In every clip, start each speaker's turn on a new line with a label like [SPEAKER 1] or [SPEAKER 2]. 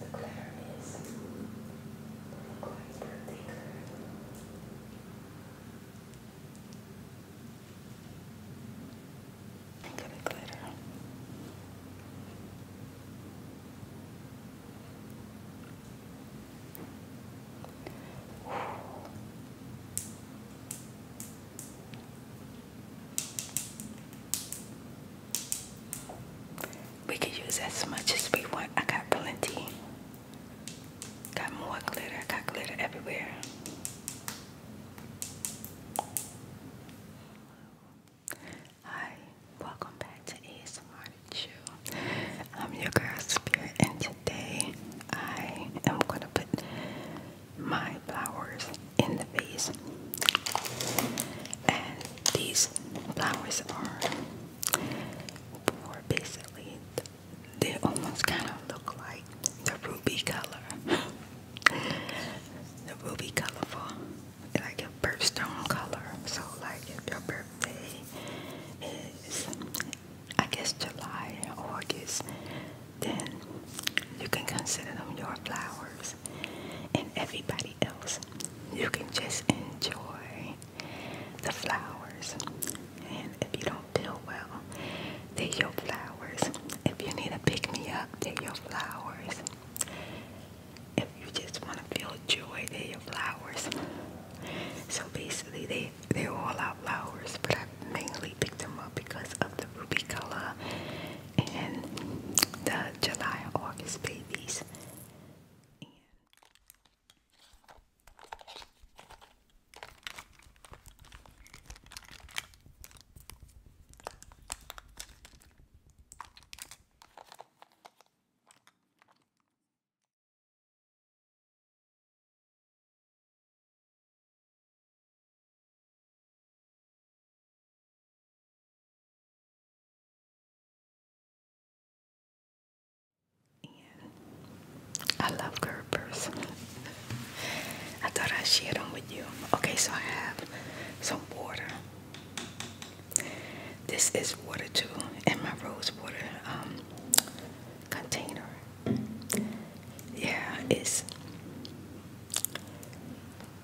[SPEAKER 1] The glare is quite particular. Look at the glitter. We can use as much as we want. I got plenty. Got more glitter. got glitter everywhere. Hi, welcome back to ASMR Chew. I'm your girl Spirit, and today I am gonna put my flowers in the vase. And these flowers are for basically, they almost kind of look like the ruby color. the ruby colorful, like a birthstone color. So like if your birthday is, I guess July or August, then you can consider them your flowers and everybody else. You can just enjoy the flowers. And if you don't feel well, they're your flowers. If you need to pick me up, they're your flowers. If you just want to feel joy, they're your flowers. So basically, they, they're all our flowers, but I mainly picked them up because of the ruby color and the July and August babies. I love Gerber's. I thought I'd share them with you. Okay, so I have some water. This is water too in my rose water um, container. Yeah, it's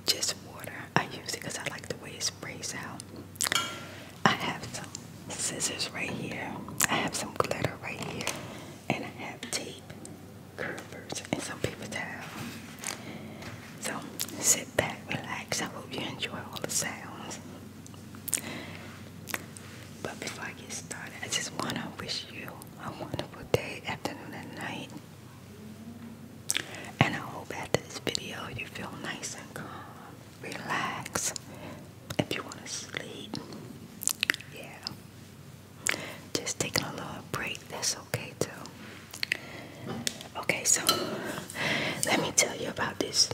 [SPEAKER 1] just water. I use it because I like the way it sprays out. I have some scissors right here. I have some glitter right here. And I have tape, curvers, and some paper towel. So sit back, relax. I hope you enjoy all the sounds. But before I get started, I just want to wish you a wonderful day, afternoon, and night. And I hope after this video you feel nice and calm, relax. If you want to sleep, yeah. Just taking a little break, that's okay too. Okay, so let me tell you about this.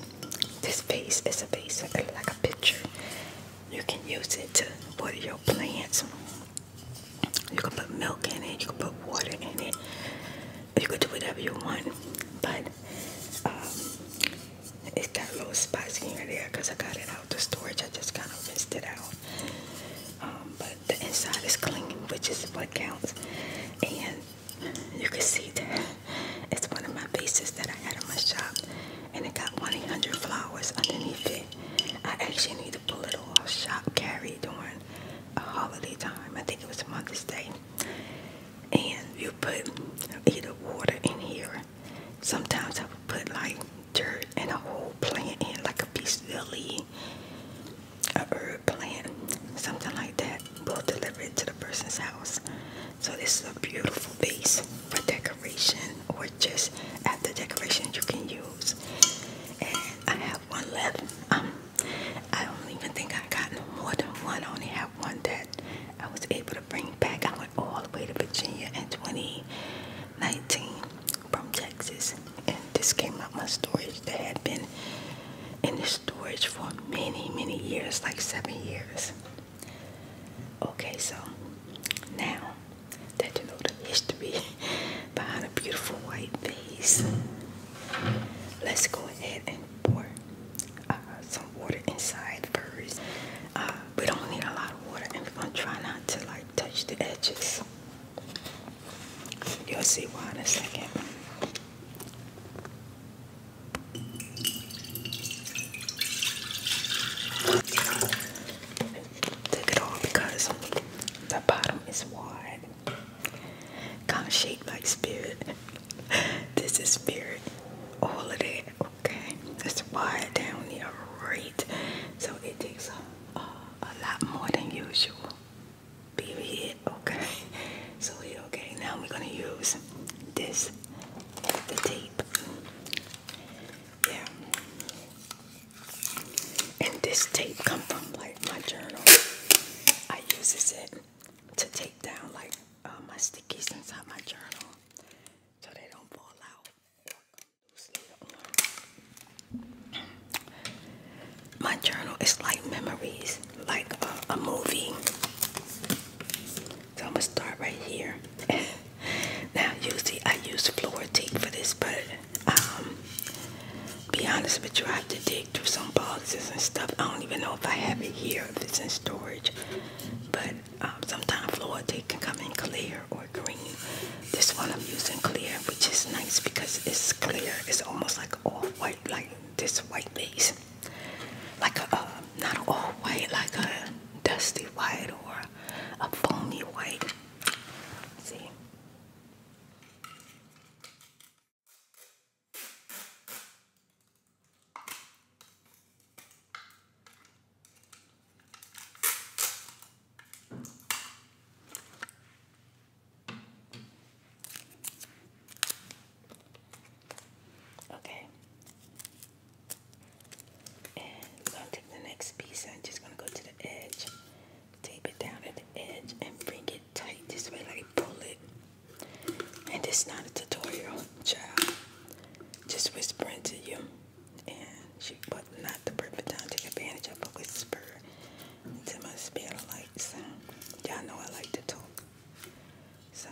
[SPEAKER 1] This vase is a vase like a picture. You can use it to water your plants. You can put milk in it, you can put water in it, you can do whatever you want. But um, it's got little spots here and there because I got it out of the storage. I just kind of rinsed it out. Um, but the inside is clean, which is what counts. And you can see that it's one of my bases that I had in my shop, and it got 100 flowers underneath it. I actually need to pull it off. Shop carry during holiday time. I think it was Mother's Day. And you put either water in here. Sometimes I would put like dirt and a whole plant in, like a piece of the a herb plant, something like that. will deliver it to the person's house. So this is a beautiful vase for decoration or just after decoration you can use. And I have one left. Um, I don't even think I got no more than one. I only have one that I was able to bring back. I went all the way to Virginia in 2019 from Texas, and this came out my storage that had been in the storage for many, many years, like seven years. Okay, so now that you know the history behind a beautiful white vase. Let's go ahead and pour uh, some water inside first. Uh, we don't need a lot of water, and we're gonna try not to like touch the edges. You'll see why in a second. Take it all because the bottom is wide. Can't shake my spirit. this is spirit. All of that. Okay. That's why down here, right? So it takes a, a, lot more than usual. Period. Okay. So yeah, okay. Now we're gonna use this, the tape. Yeah. And this tape come from like my journal. I uses it to tape down like uh, my stickies inside my journal so they don't fall out. My journal is like memories, like a, movie. So I'm gonna start right here. now you see, I use floor tape for this, but um, be honest with you, I have to dig through some boxes and stuff. I don't even know if I have it here, if it's in storage. But um, sometimes Florida can come in clear or green. This one I'm using clear, which is nice because it's clear. It's almost like all white like this white base. Like a, uh, not all-white, like a dusty white or a foamy white. See? Okay. And I'm gonna take the next piece I'm just gonna go to the edge tape it down at the edge and bring it tight this way, like pull it. And it's not a tutorial, child. Just whispering to you. And she put not the perfect time to take advantage of a whisper to my spirit like So, y'all know I like to talk. So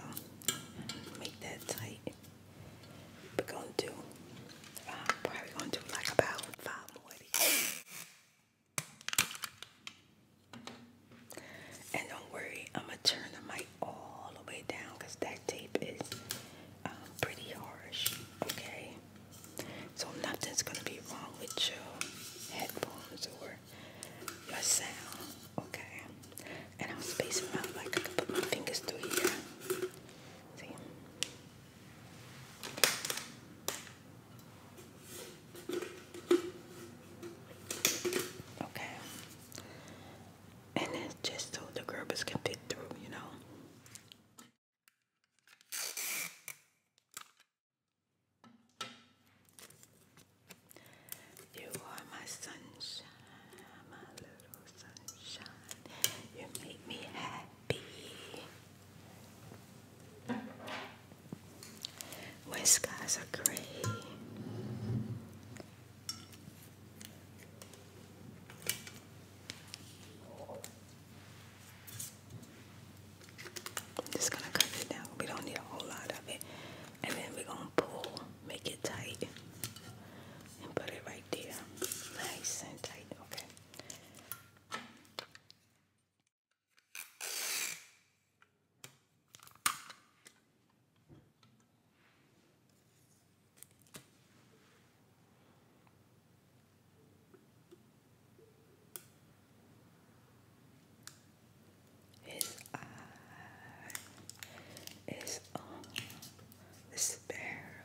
[SPEAKER 1] make that tight. We're gonna do uh, probably gonna do like about five more of these. And don't worry, I'm gonna turn the mic all the way down because that tape is um, pretty harsh. Okay, so nothing's gonna be wrong with your headphones or your sound. Okay, and I'm spacing out like I can put my fingers through here. See. Okay. And it's just so the Gerbers can fit through, you know. You are my sunshine, my little sunshine. You make me happy. When skies are gray, just gonna cut it down. We don't need a whole lot of it, and then we're gonna pull, make it tight, and put it right there, nice and tight. Okay. His eye is on the sparrow.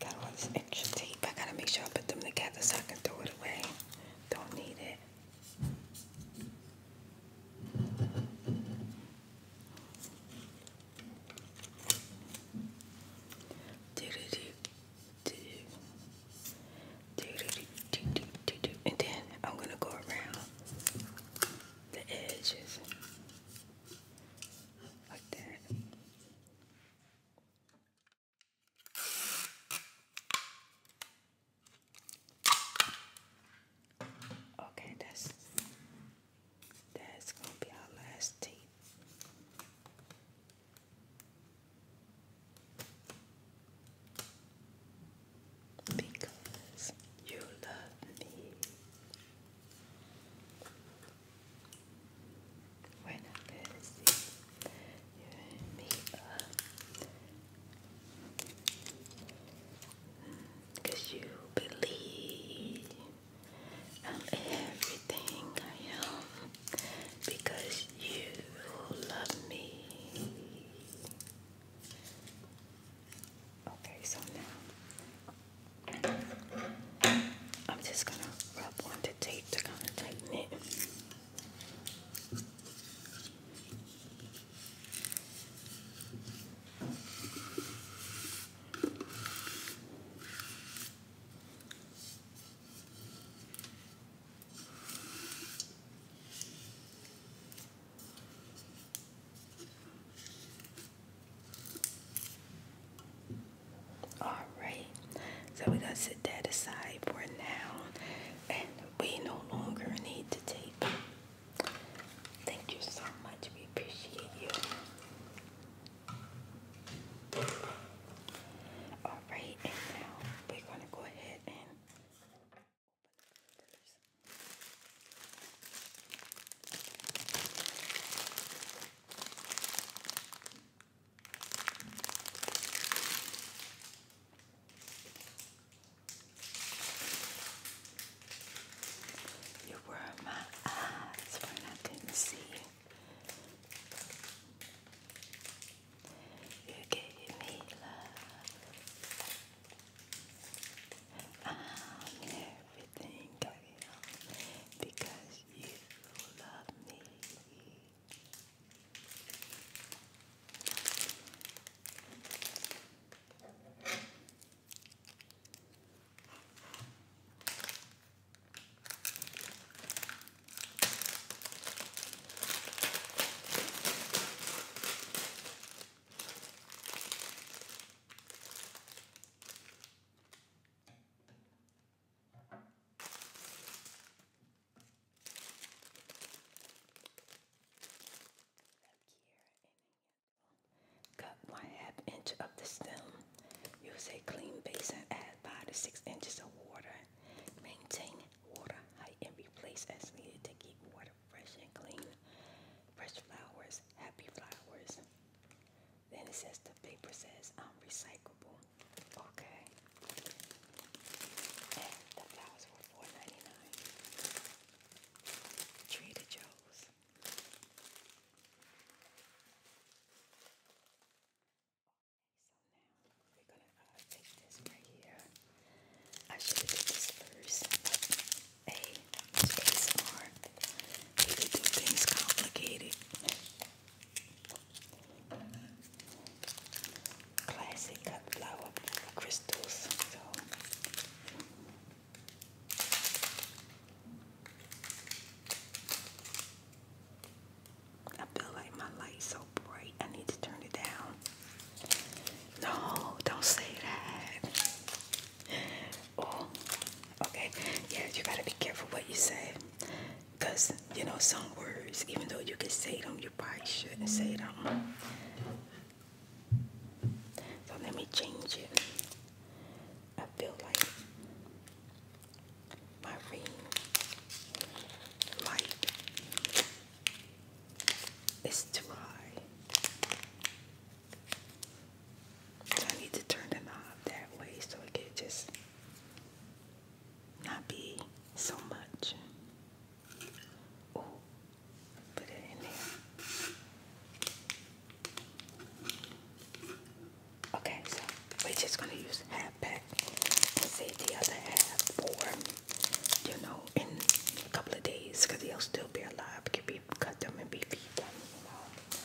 [SPEAKER 1] Got all this extra tape. I gotta make sure I put them together so I can throw it away. Don't need it. And then I'm going to go around the edges like that. Okay, that's that's gonna be our last tea. Because you love me. We're not good to see you and me up. Uh, you believe i everything I am because you love me. Okay, so now I'm just going to rub on the tape to kind of tighten it. Alright, so we're going to sit that aside for now, and we no longer need to tape. Thank you so much, we appreciate you. Alright, and now we're going to go ahead and open the filters. You were my eyes when I didn't see you. You gave me love. I'm everything I am because you love me. Cut one half inch of the stem. Use a clean basin, add five to six inches of water. Maintain water height and replace as needed to keep water fresh and clean. Fresh flowers, happy flowers. Then it says the paper says um, Okay. the flowers were four ninety nine. Trader Joe's. Okay, so now we're gonna uh, take this right here. I should have did this first. A ASMR. You could do things complicated. Classic cut flower crystals. I feel like my light's so bright. I need to turn it down. No, don't say that. Oh, okay. Yeah, you gotta be careful what you say. Because, you know, some words, even though you can say them, you probably shouldn't say them. So let me change it. I feel like my ring light is too I need to turn the knob that way so it can just not be so much. Oh, put it in there. Okay, so we're just gonna use half back and save the other half for, you know, in a couple of days, cause they'll still be alive. Can be cut them and be feed them, you know.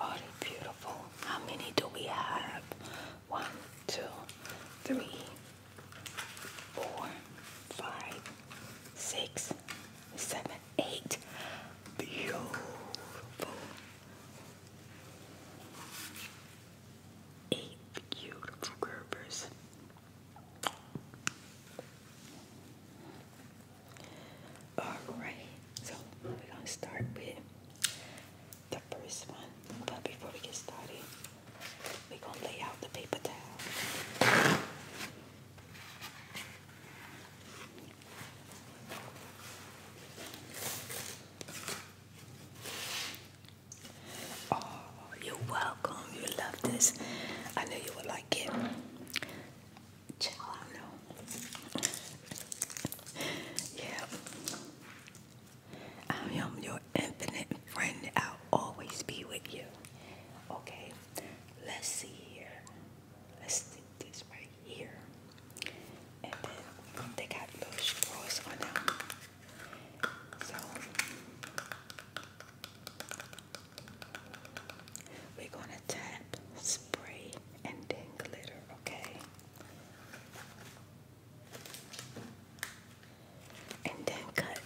[SPEAKER 1] Oh, they beautiful. How many do we have? One, two, three, four, five, six, seven, eight. Beautiful. Eight beautiful Gerbers. Alright, so we're gonna start with the first one. But before we get started, we gonna lay out the paper towel. Oh, you're welcome. You love this. I know you will like it. yeah. I am your infinite friend. I'll always be with you. Okay, let's see here. Let's do this right here. And then they got little straws on them. So we're going to tap, spray, and then glitter, okay? And then cut.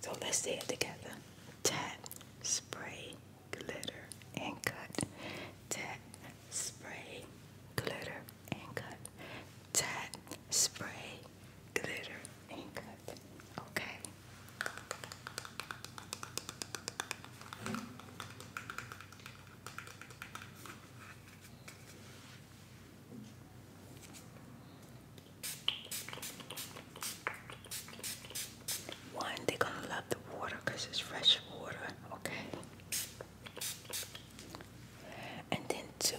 [SPEAKER 1] So let's say it together. Tap, spray, glitter, and cut. Tap, spray, glitter, and cut. Tap, spray, glitter and cut. Okay. One, they're gonna love the water because it's fresh water, okay? And then two,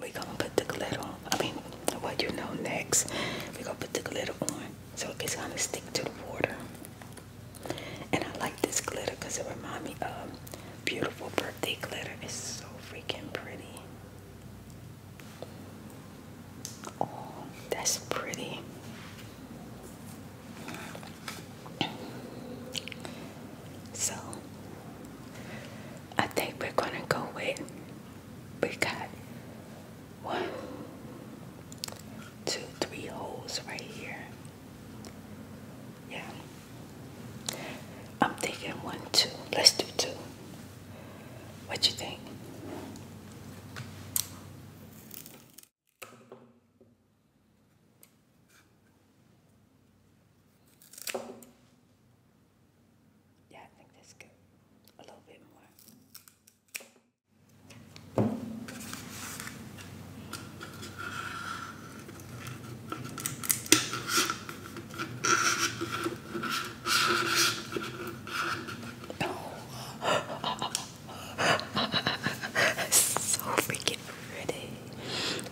[SPEAKER 1] we're gonna put the glitter on. I mean, what you know next. We're gonna put the glitter on so it gets gonna stick to the water. And I like this glitter because it reminds me of beautiful birthday glitter. It's so freaking pretty. Oh, that's pretty. So I think we're gonna go with we got one, two, three holes right here. Yeah. I'm thinking one, two. Let's do two. What you think? Yeah, I think that's good. A little bit more. so freaking pretty.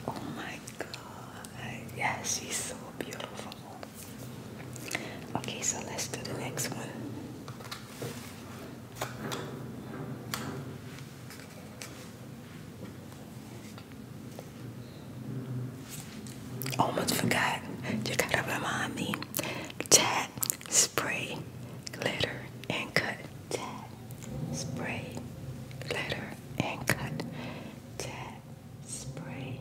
[SPEAKER 1] Oh my god. Yeah, she's so beautiful. Okay, so let's do the next one. Almost forgot. You gotta remind me. Tap, spray, glitter, and cut. Tap, spray, glitter, and cut. Tap, spray,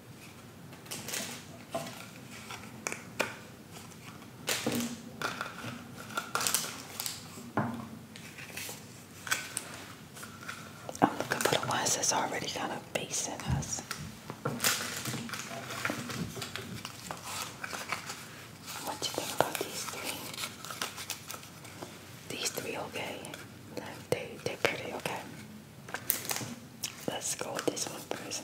[SPEAKER 1] I'm oh, looking for the ones that's already kind of facing us. What do you think about these three? These three okay? They, they're pretty okay. Let's go with this one, one first.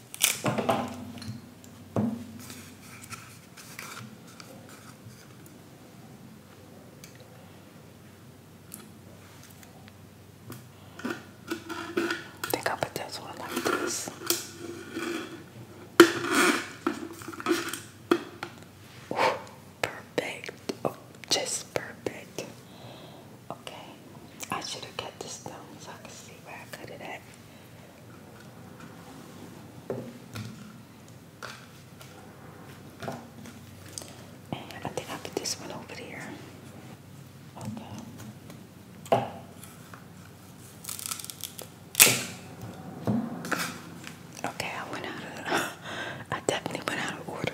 [SPEAKER 1] think i put this one like this. perfect. Oh, just perfect. Okay. I should have kept this down I could see where I cut it at. I think I put this one over here. Okay. Okay, I went out of I definitely went out of order.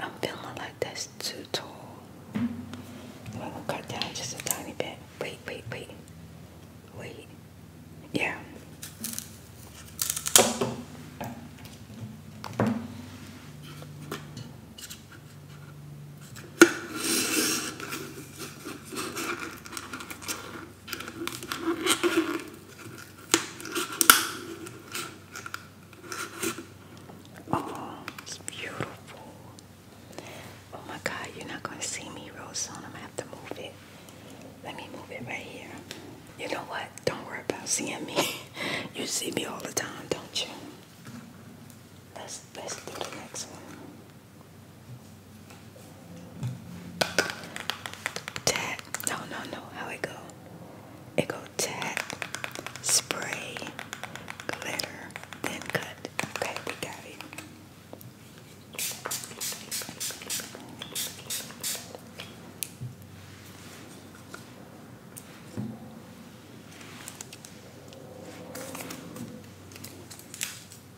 [SPEAKER 1] I'm feeling like that's too tall. I'm gonna cut down just a tiny bit. Wait, wait, wait. Wait. Yeah. Oh, it's beautiful. Oh my God, you're not going to see me real soon. I'm going to have to move it. Let me move it right here. You know what? Don't worry about seeing me. you see me all the time, don't you? Let's, let's do the next one. Tap. No, no, no. How it go? It go tap, spray, glitter, then cut. Okay, we got it.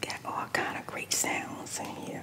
[SPEAKER 1] Got all kind of great sounds in here.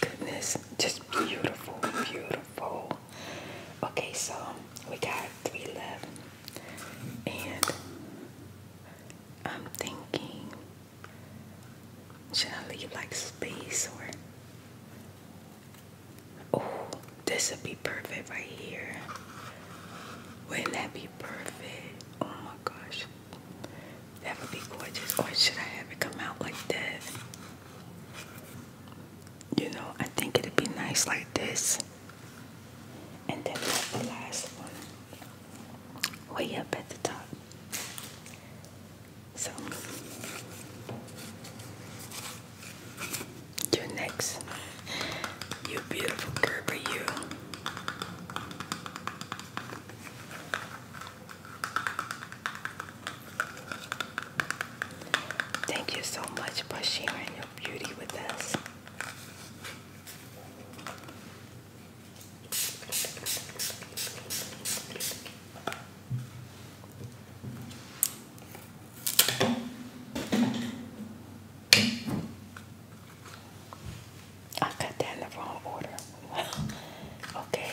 [SPEAKER 1] goodness, just beautiful, beautiful. Okay, so we got three left, and I'm thinking, should I leave like space or? Oh, this would be perfect right here. Wouldn't that be perfect? Oh my gosh. That would be gorgeous. Or should I have it come out like that? You know, I think it'd be nice like this. And then the last one way up at the top. So you next. You beautiful girl, but you. Thank you so much for sharing your beauty with us. I cut that in the wrong order. okay.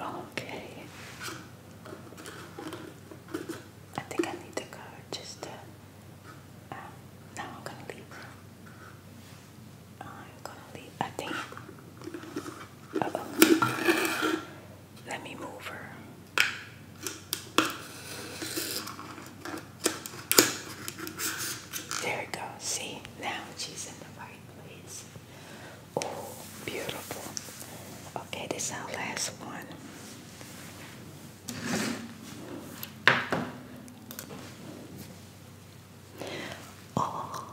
[SPEAKER 1] Okay. I think I need to go just um, now I'm gonna leave. I'm gonna leave. I think. Uh -oh. Let me move her. There it goes. See, now she's in the right place. Oh, beautiful. Okay, this is our last one. Oh.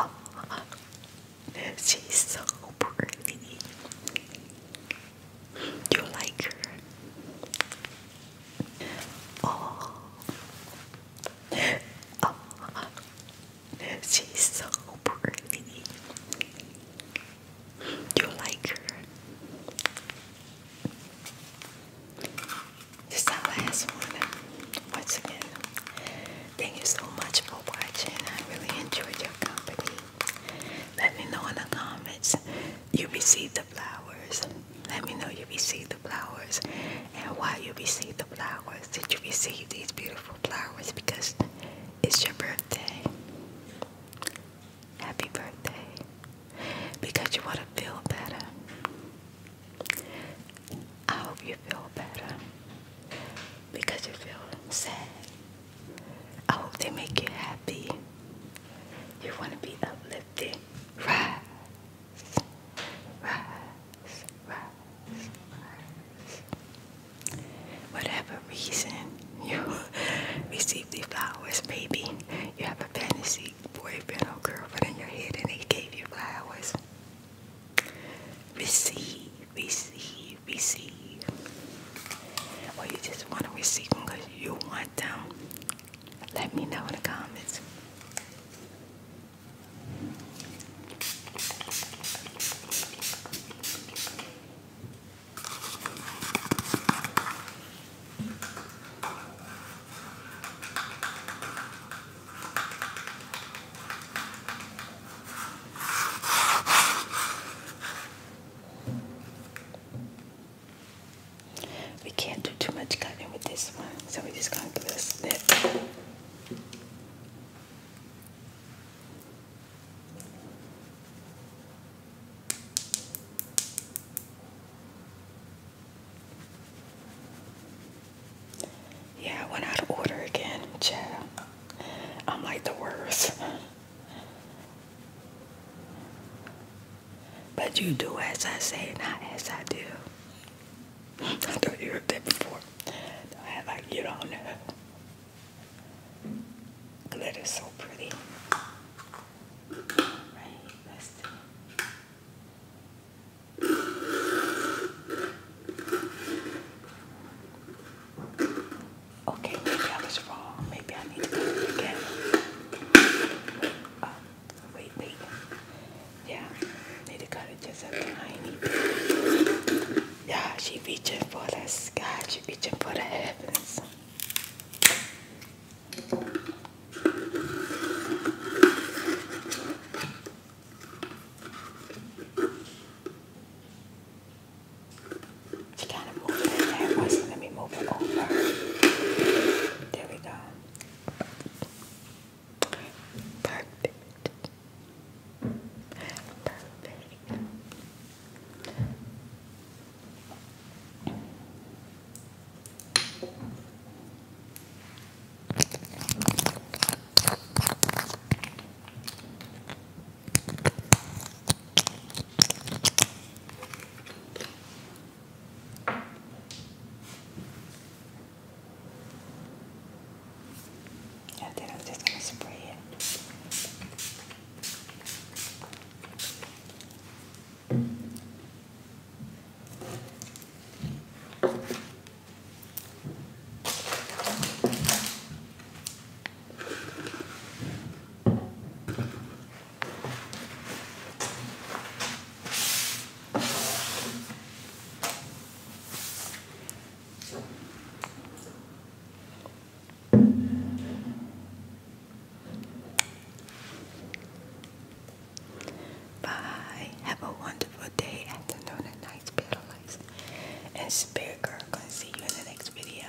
[SPEAKER 1] oh, she's so pretty. You like her. Oh. oh. She's so pretty. You like her. This our last one. Once again, thank you so much for watching. I really enjoyed your company. Let me know in the comments you received the flowers. Let me know you received the flowers and why you received the flowers. Did you receive these beautiful flowers because it's your birthday? Happy birthday. Because you want to feel better. I hope you feel better because you feel sad. I hope they make you happy. You want to be uplifted. Rise, rise, rise, rise. Whatever reason you receive these flowers, maybe you have a fantasy boyfriend or girlfriend in your head and they gave you flowers. Receive, receive, receive, or you just want to receive them because you want them, let me know in the comments. We can't do too much cutting with this one, so we're just going to do a snip. Yeah, I went out of order again, child. I'm like the worst. But you do as I say, not as I do. I thought you heard that before. I like you don't know. there. Glitter's so pretty. Right, let's do okay, maybe I was wrong. Maybe I need to do it again. Uh, wait, wait. Yeah, need to cut it just a tiny bit. Yeah, she reaching for the sky. She reaching for the heavens. She kind of moved it there once. Let me move it over. There we go. Perfect. Perfect. Yeah, then I'm just going to spray it. Bye. Have a wonderful day, afternoon, and night, spirit, and spirit girl. Gonna see you in the next video.